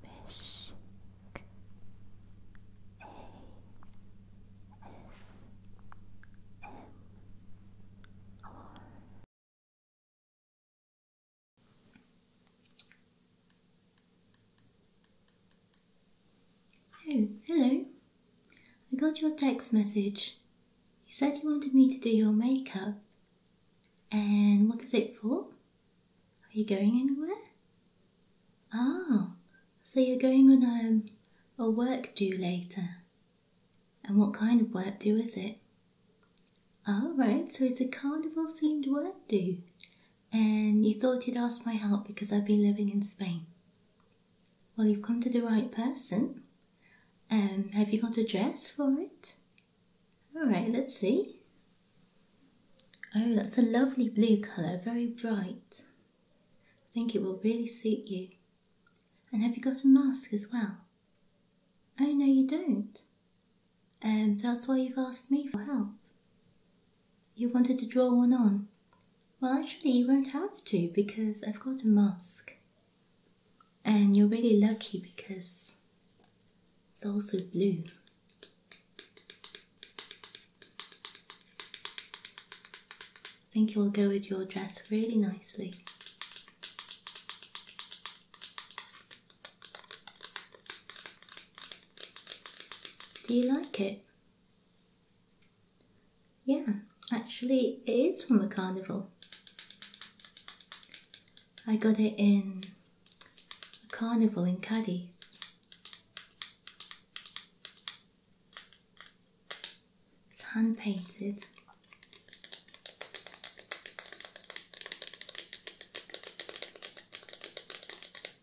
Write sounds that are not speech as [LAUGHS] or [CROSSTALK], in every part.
Mishk Oh, hello. I got your text message. You said you wanted me to do your makeup. And what is it for? Are you going anywhere? Oh, so you're going on a, um, a work do later. And what kind of work do is it? Oh, right. so it's a carnival themed work do. And you thought you'd ask my help because I've been living in Spain. Well, you've come to the right person. Um, have you got a dress for it? Alright, let's see. Oh, that's a lovely blue colour, very bright. I think it will really suit you. And have you got a mask as well? Oh, no, you don't. Um, that's why you've asked me for help. You wanted to draw one on. Well, actually, you won't have to because I've got a mask. And you're really lucky because it's also blue. I think it will go with your dress really nicely. Do you like it? Yeah, actually, it is from a carnival. I got it in a carnival in Cadiz. It's hand painted.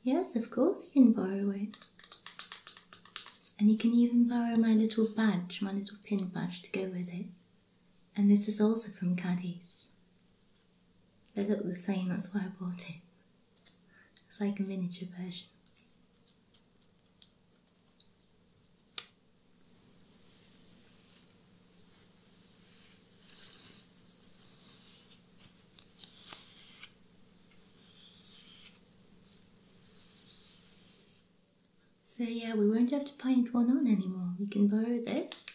Yes, of course, you can borrow it. And you can even borrow my little badge, my little pin badge to go with it. And this is also from Cadiz. They look the same, that's why I bought it. It's like a miniature version. So yeah, we won't have to paint one on anymore. We can borrow this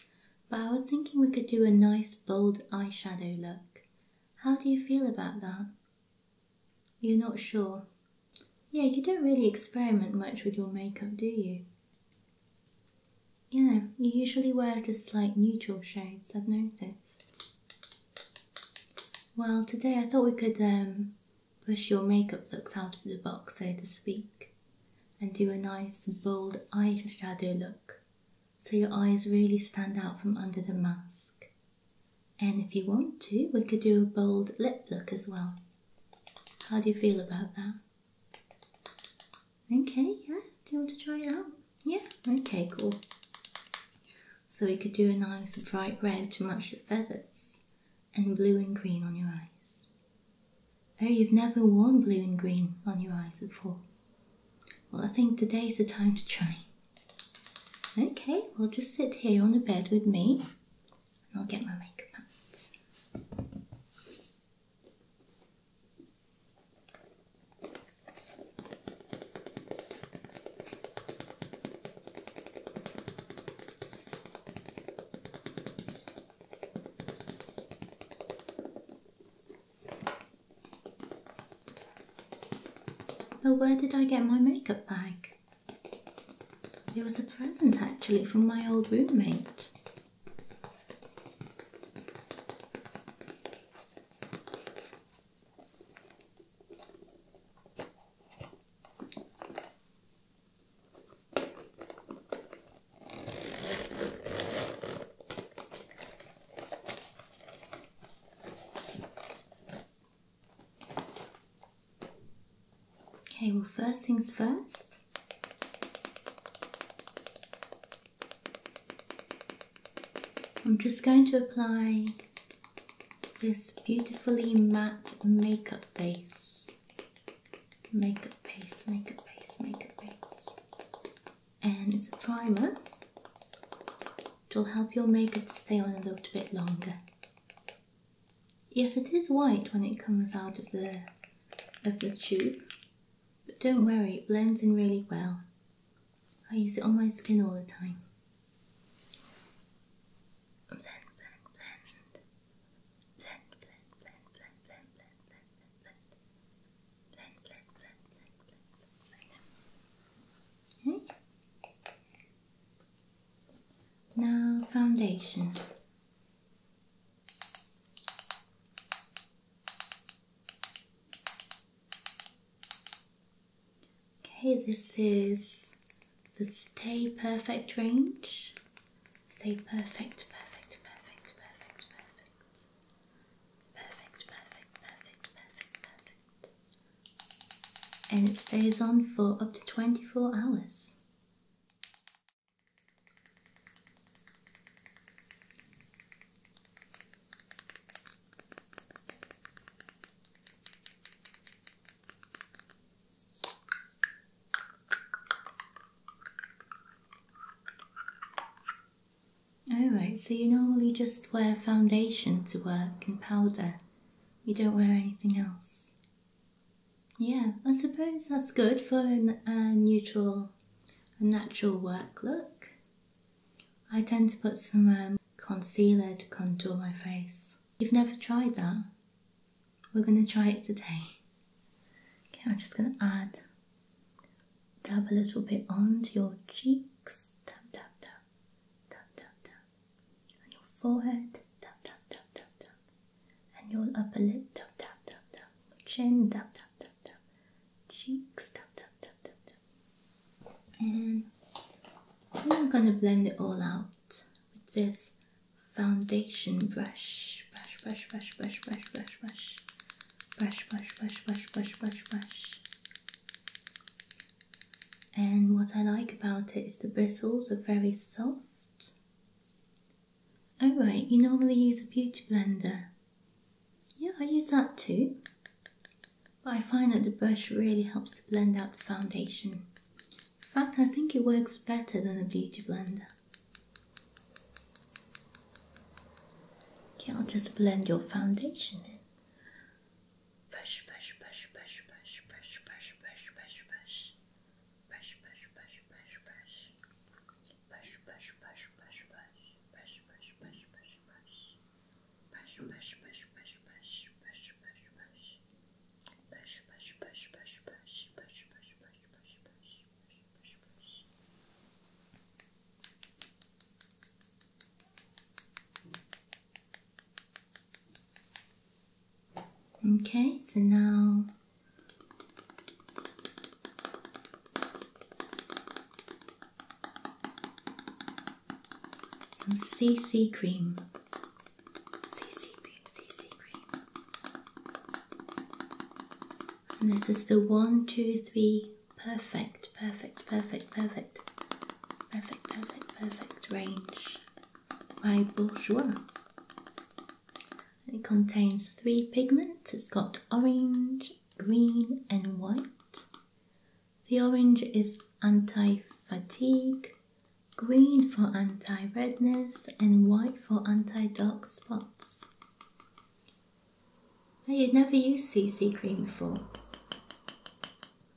but I was thinking we could do a nice bold eyeshadow look. How do you feel about that? You're not sure? Yeah, you don't really experiment much with your makeup, do you? Yeah, you usually wear just like neutral shades, I've noticed. Well, today I thought we could um, push your makeup looks out of the box, so to speak, and do a nice bold eyeshadow look so your eyes really stand out from under the mask. And if you want to, we could do a bold lip look as well. How do you feel about that? Okay, yeah. Do you want to try it out? Yeah, okay, cool. So we could do a nice bright red to match the feathers and blue and green on your eyes. Oh, you've never worn blue and green on your eyes before. Well, I think today is the time to try. Okay, well, just sit here on the bed with me and I'll get my makeup out. But where did I get my makeup bag? It was a present actually from my old roommate. Okay, well, first things first. I'm just going to apply this beautifully matte makeup base. Makeup base, makeup base, makeup base and it's a primer. It will help your makeup to stay on a little bit longer. Yes, it is white when it comes out of the of the tube, but don't worry, it blends in really well. I use it on my skin all the time. Blend, blend, blend. Blend, blend, blend, blend, blend, blend, Okay. Hmm? Now foundation. Okay, this is the Stay Perfect range. Stay perfect, perfect, perfect, perfect, perfect. Perfect, perfect, perfect, perfect, perfect. And it stays on for up to 24 hours. Oh right, so you normally just wear foundation to work and powder. You don't wear anything else. Yeah, I suppose that's good for a, neutral, a natural work look. I tend to put some um, concealer to contour my face. You've never tried that? We're going to try it today. Okay, I'm just going to add Tap a little bit onto your cheeks. Tap, tap, tap. Tap, tap, tap. On your forehead. Tap, tap, tap, tap, tap. And your upper lip. Tap, tap, tap, tap. Your chin. Tap, tap, tap, tap. Cheeks. Tap, tap, tap, tap, tap. And I'm going to blend it all out with this foundation brush. Brush, brush, brush, brush, brush, brush, brush brush, brush, brush, brush, brush, brush, brush. And what I like about it is the bristles are very soft. Alright, oh, you normally use a beauty blender. Yeah, I use that too. But I find that the brush really helps to blend out the foundation. In fact, I think it works better than a beauty blender. Okay, I'll just blend your foundation in. Brush, brush, brush, brush, brush, brush, brush, brush, brush, brush. Brush, brush, brush, brush, brush. Brush, brush, brush, brush, brush. Brush, brush, brush, brush, brush. Brush, brush, brush, brush, brush. Brush, brush, brush. Brush, brush, brush, brush, brush. Brush, brush, brush, brush, brush. Brush, brush, brush. Okay, so now some CC cream. CC cream, CC cream. And this is the one, two, three, perfect, perfect, perfect, perfect, perfect, perfect, perfect range by Bourgeois. It contains three pigments. It's got orange, green, and white. The orange is anti fatigue, green for anti redness, and white for anti dark spots. I had never used CC cream before.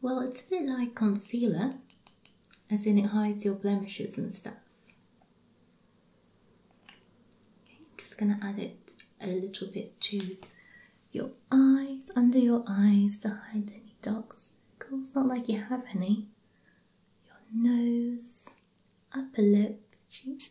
Well, it's a bit like concealer, as in it hides your blemishes and stuff. I'm just going to add it a little bit to your eyes, under your eyes to hide any dark Cause not like you have any. Your nose, upper lip, cheeks.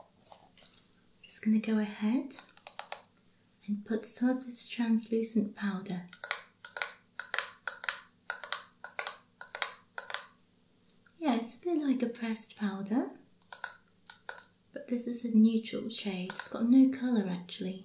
I'm just going to go ahead and put some of this translucent powder yeah it's a bit like a pressed powder but this is a neutral shade it's got no color actually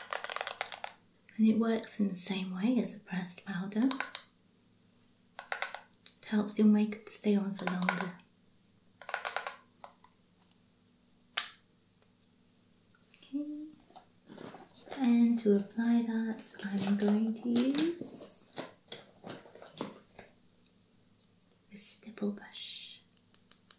and it works in the same way as a pressed powder. It helps your makeup stay on for longer. Okay. And to apply that, I'm going to use the stipple brush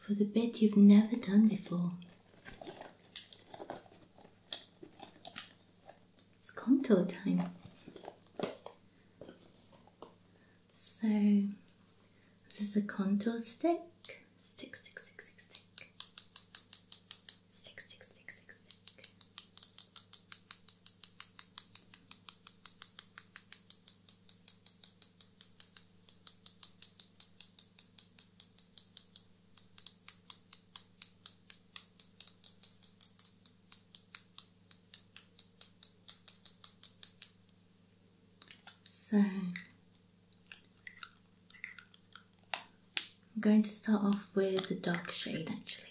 for the bit you've never done before. It's contour time. So, this is a contour stick. Stick, stick, stick, stick, stick. Stick, stick, stick, stick, stick. So I'm going to start off with the dark shade actually.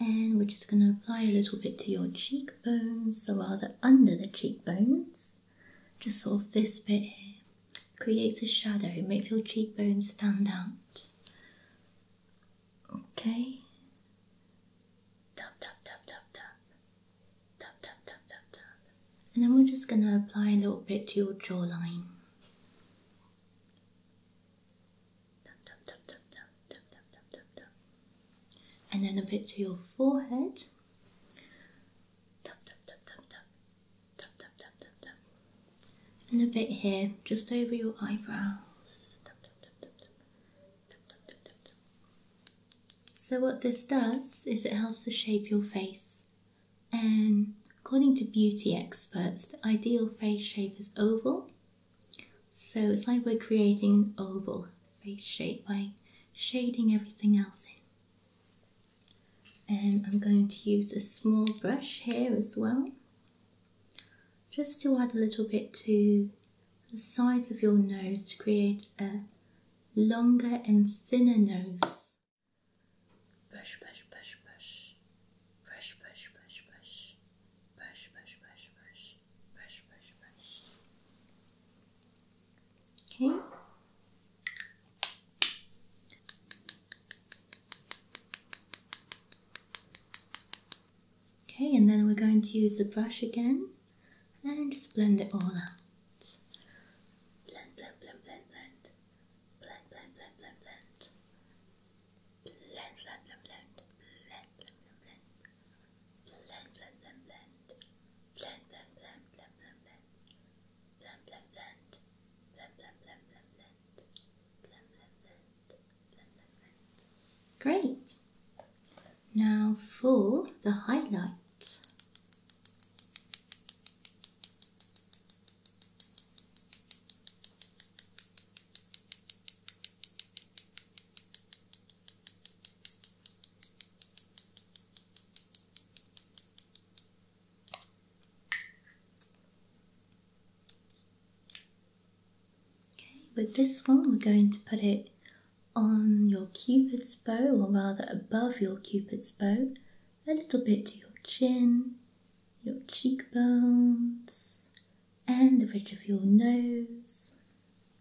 And we're just going to apply a little bit to your cheek. Bones, so rather under the cheekbones, just sort of this bit here, creates a shadow, makes your cheekbones stand out. Okay. Tap tap tap tap tap. Tap tap tap tap tap. And then we're just gonna apply a little bit to your jawline. Tap tap tap tap tap tap tap tap tap tap and then a bit to your forehead. And a bit here, just over your eyebrows. So what this does is it helps to shape your face. And according to beauty experts, the ideal face shape is oval. So it's like we're creating an oval face shape by shading everything else in. And I'm going to use a small brush here as well, just to add a little bit to the sides of your nose to create a longer and thinner nose. Brush, brush, brush, brush. Brush, brush, brush, brush. Brush, brush, brush, brush brush, brush, brush. Okay. Okay, and then we're going to use the brush again and just blend it all out. blend, blend, blend. Blend, blend, blend, blend, blend. Blend, blend, blend, blend. Blend, Great. Now for the highlights. Okay, with this one, we're going to put it on your cupid's bow, or rather above your cupid's bow, a little bit to your chin, your cheekbones, and the ridge of your nose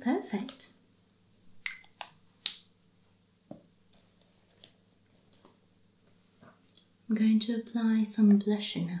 perfect. I'm going to apply some blusher now.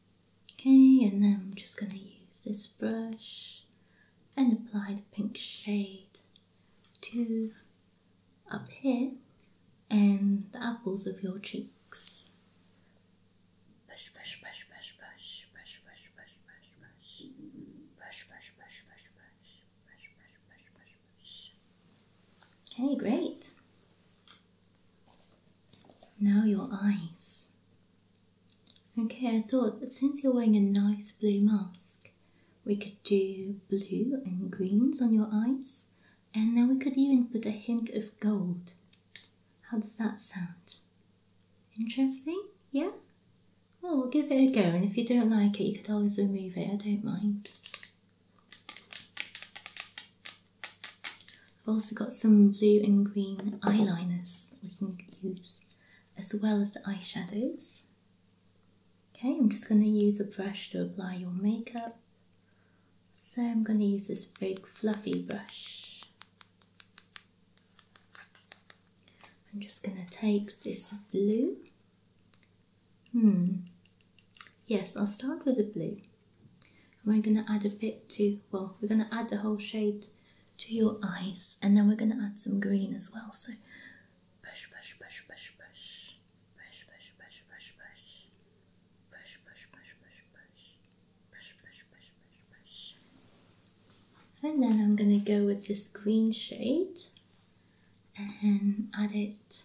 Okay, and then I'm just going to use this brush and apply the pink shade to up here and the apples of your cheeks. Brush, brush, brush, brush, brush, brush, brush, brush, brush, brush, brush, brush, brush, brush, brush, brush, brush, brush, brush, brush. Okay, great. Now your eyes. Okay, I thought that since you're wearing a nice blue mask, we could do blue and greens on your eyes, and then we could even put a hint of gold. How does that sound? Interesting? Yeah? Well, we'll give it a go, and if you don't like it, you could always remove it, I don't mind. I've also got some blue and green eyeliners we can use as well as the eyeshadows. Okay, I'm just going to use a brush to apply your makeup. So I'm going to use this big fluffy brush. I'm just going to take this blue. Hmm. Yes, I'll start with the blue. And we're going to add a bit to, well, we're going to add the whole shade to your eyes, and then we're going to add some green as well. So brush, brush, brush, brush, brush, brush, brush, brush, brush, brush, brush, brush, brush, brush, brush, brush, brush, brush, brush, brush. And then I'm going to go with this green shade and add it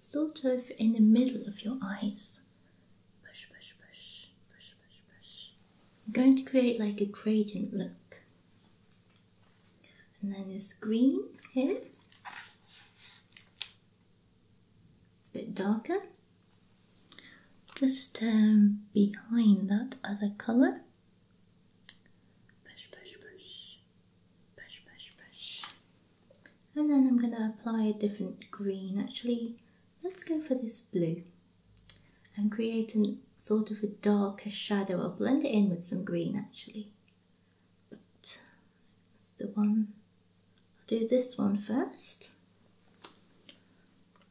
sort of in the middle of your eyes. Push, push, I'm going to create like a gradient look. And then this green here. It's a bit darker. Just um, behind that other colour. And then I'm going to apply a different green. Actually, let's go for this blue. I'm creating sort of a darker shadow. I'll blend it in with some green actually. But that's the one. I'll do this one first.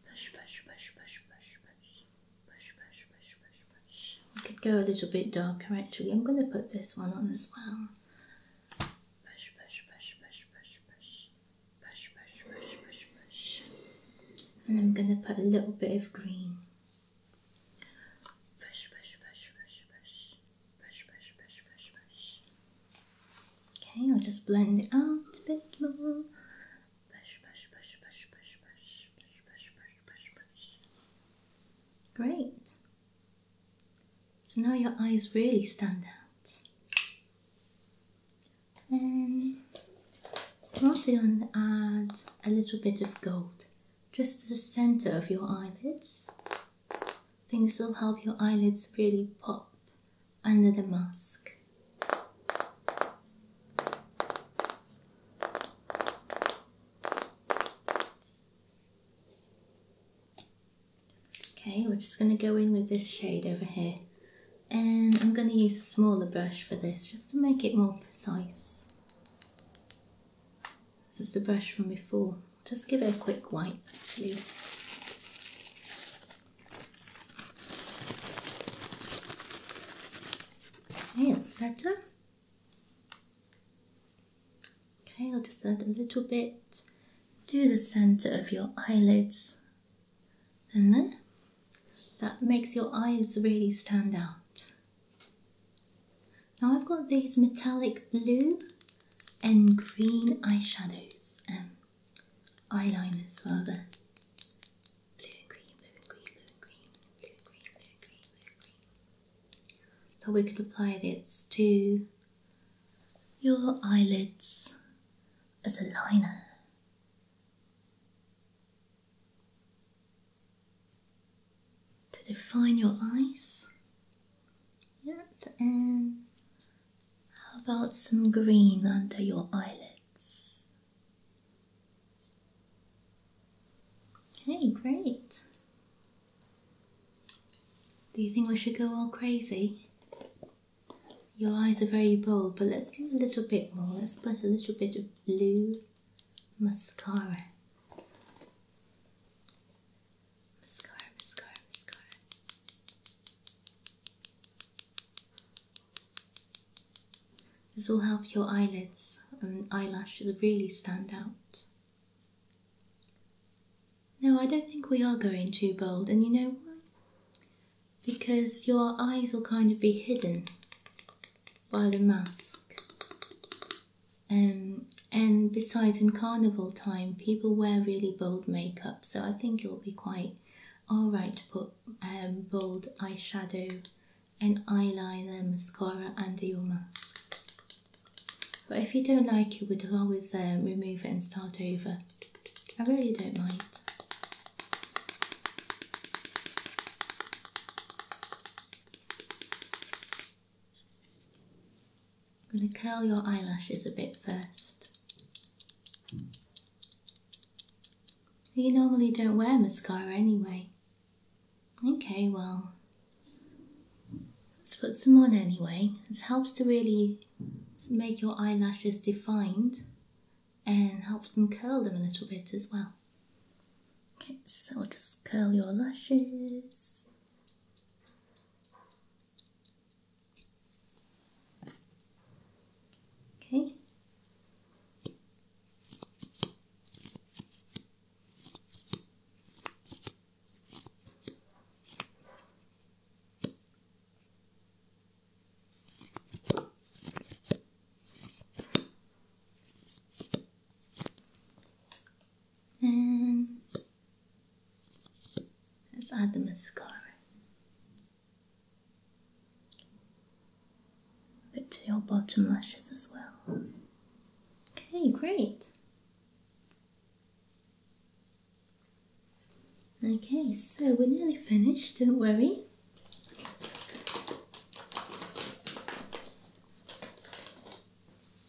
Push, push, push, push, push, push, push, push, push, push, push. We could go a little bit darker actually. I'm going to put this one on as well. Push, push, push, push, push, push. And I'm gonna put a little bit of green. Okay, I'll just blend it out a bit more. Great. So now your eyes really stand out and I'm also going to add a little bit of gold just to the center of your eyelids. I think this will help your eyelids really pop under the mask. Okay, we're just going to go in with this shade over here and I'm going to use a smaller brush for this just to make it more precise. This is the brush from before. Just give it a quick wipe actually. Okay, that's better. Okay, I'll just add a little bit to the center of your eyelids and then that makes your eyes really stand out. Now I've got these metallic blue and green eyeshadows, um, eyeliners rather. Blue and green, blue and green, blue and green, blue and green, blue and green, blue and green. So we could apply this to your eyelids as a liner to define your eyes. Yeah, and how about some green under your eyelids? Okay, great. Do you think we should go all crazy? Your eyes are very bold, but let's do a little bit more. Let's put a little bit of blue mascara. Mascara, mascara, mascara. This will help your eyelids and eyelashes really stand out. No, I don't think we are going too bold, and you know why? because your eyes will kind of be hidden by the mask. Um, and besides, in carnival time, people wear really bold makeup, so I think it'll be quite alright to put um, bold eyeshadow and eyeliner, mascara under your mask. But if you don't like it, we'd always um, remove it and start over. I really don't mind. I'm going to curl your eyelashes a bit first. You normally don't wear mascara anyway. Okay, well, let's put some on anyway. It helps to really make your eyelashes defined and helps them curl them a little bit as well. Okay, so just curl your lashes. Okay. And let's add the mascara. But to your bottom lashes as well. Okay, great. Okay, so we're nearly finished, don't worry.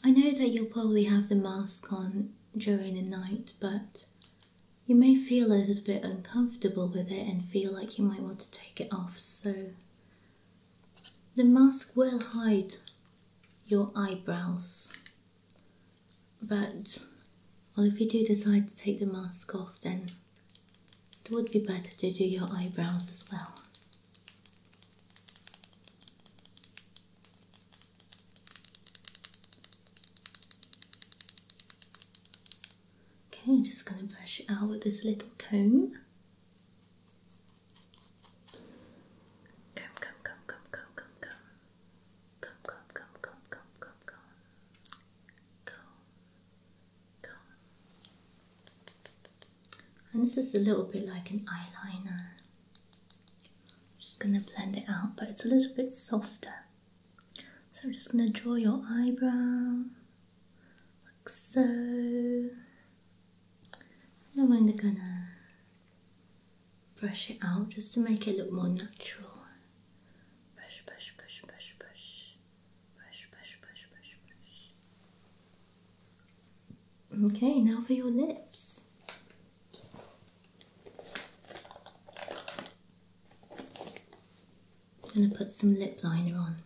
I know that you'll probably have the mask on during the night, but you may feel a little bit uncomfortable with it and feel like you might want to take it off, so the mask will hide your eyebrows. But, well, if you do decide to take the mask off, then it would be better to do your eyebrows as well. Okay, I'm just going to brush it out with this little comb. Comb, comb, comb, comb, comb, comb, comb. Comb, comb, comb, comb, comb, comb, comb. Comb. And this is a little bit like an eyeliner. just gonna blend it out, but it's a little bit softer. So I'm just gonna draw your eyebrow like so. And then I'm gonna brush it out just to make it look more natural. Brush, brush, brush, brush, brush. Okay, now for your lips. I'm going to put some lip liner on.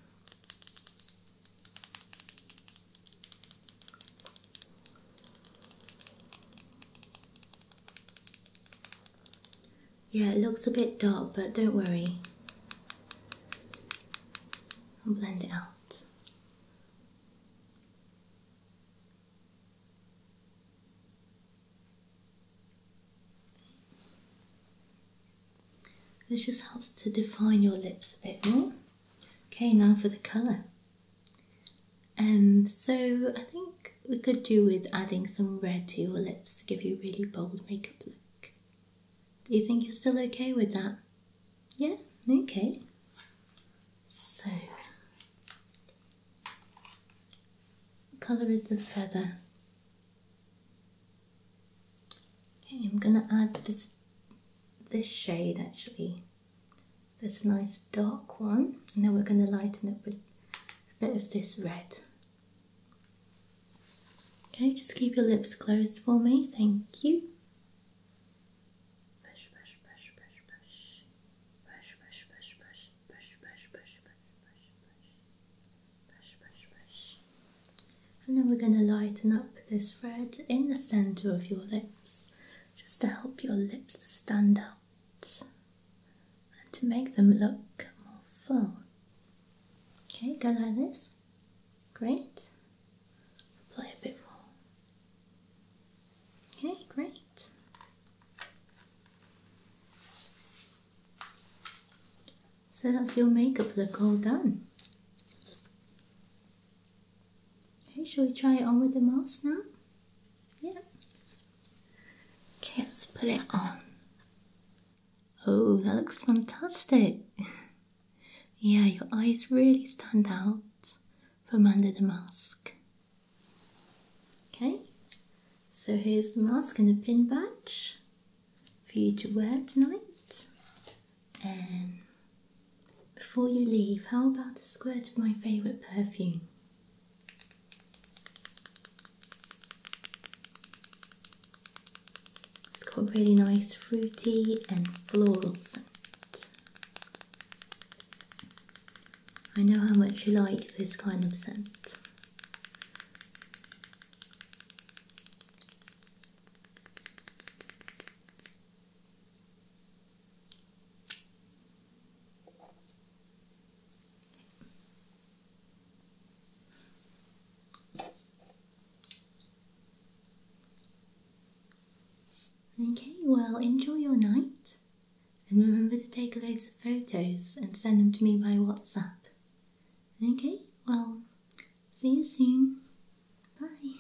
Yeah, it looks a bit dark, but don't worry. i blend it out. This just helps to define your lips a bit more. Okay, now for the colour. And um, so I think we could do with adding some red to your lips to give you a really bold makeup look. Do you think you're still okay with that? Yeah, okay. So, colour is the feather. Okay, I'm gonna add this this shade actually, this nice dark one, and then we're gonna lighten it with a bit of this red. Okay, just keep your lips closed for me. Thank you. And then we're going to lighten up this red in the center of your lips just to help your lips to stand out and to make them look more full. Okay, go like this. Great. Play a bit more. Okay, great. So that's your makeup look all done. Okay, shall we try it on with the mouse now? Yeah. Okay, let's put it on. Oh, that looks fantastic! [LAUGHS] yeah, your eyes really stand out from under the mask. Okay, so here's the mask and the pin badge for you to wear tonight. And before you leave, how about a squirt of my favourite perfume? It's got really nice fruity and floral scent. I know how much you like this kind of scent. Okay, well, enjoy your night and remember to take loads of photos and send them to me by WhatsApp. Okay, well, see you soon. Bye.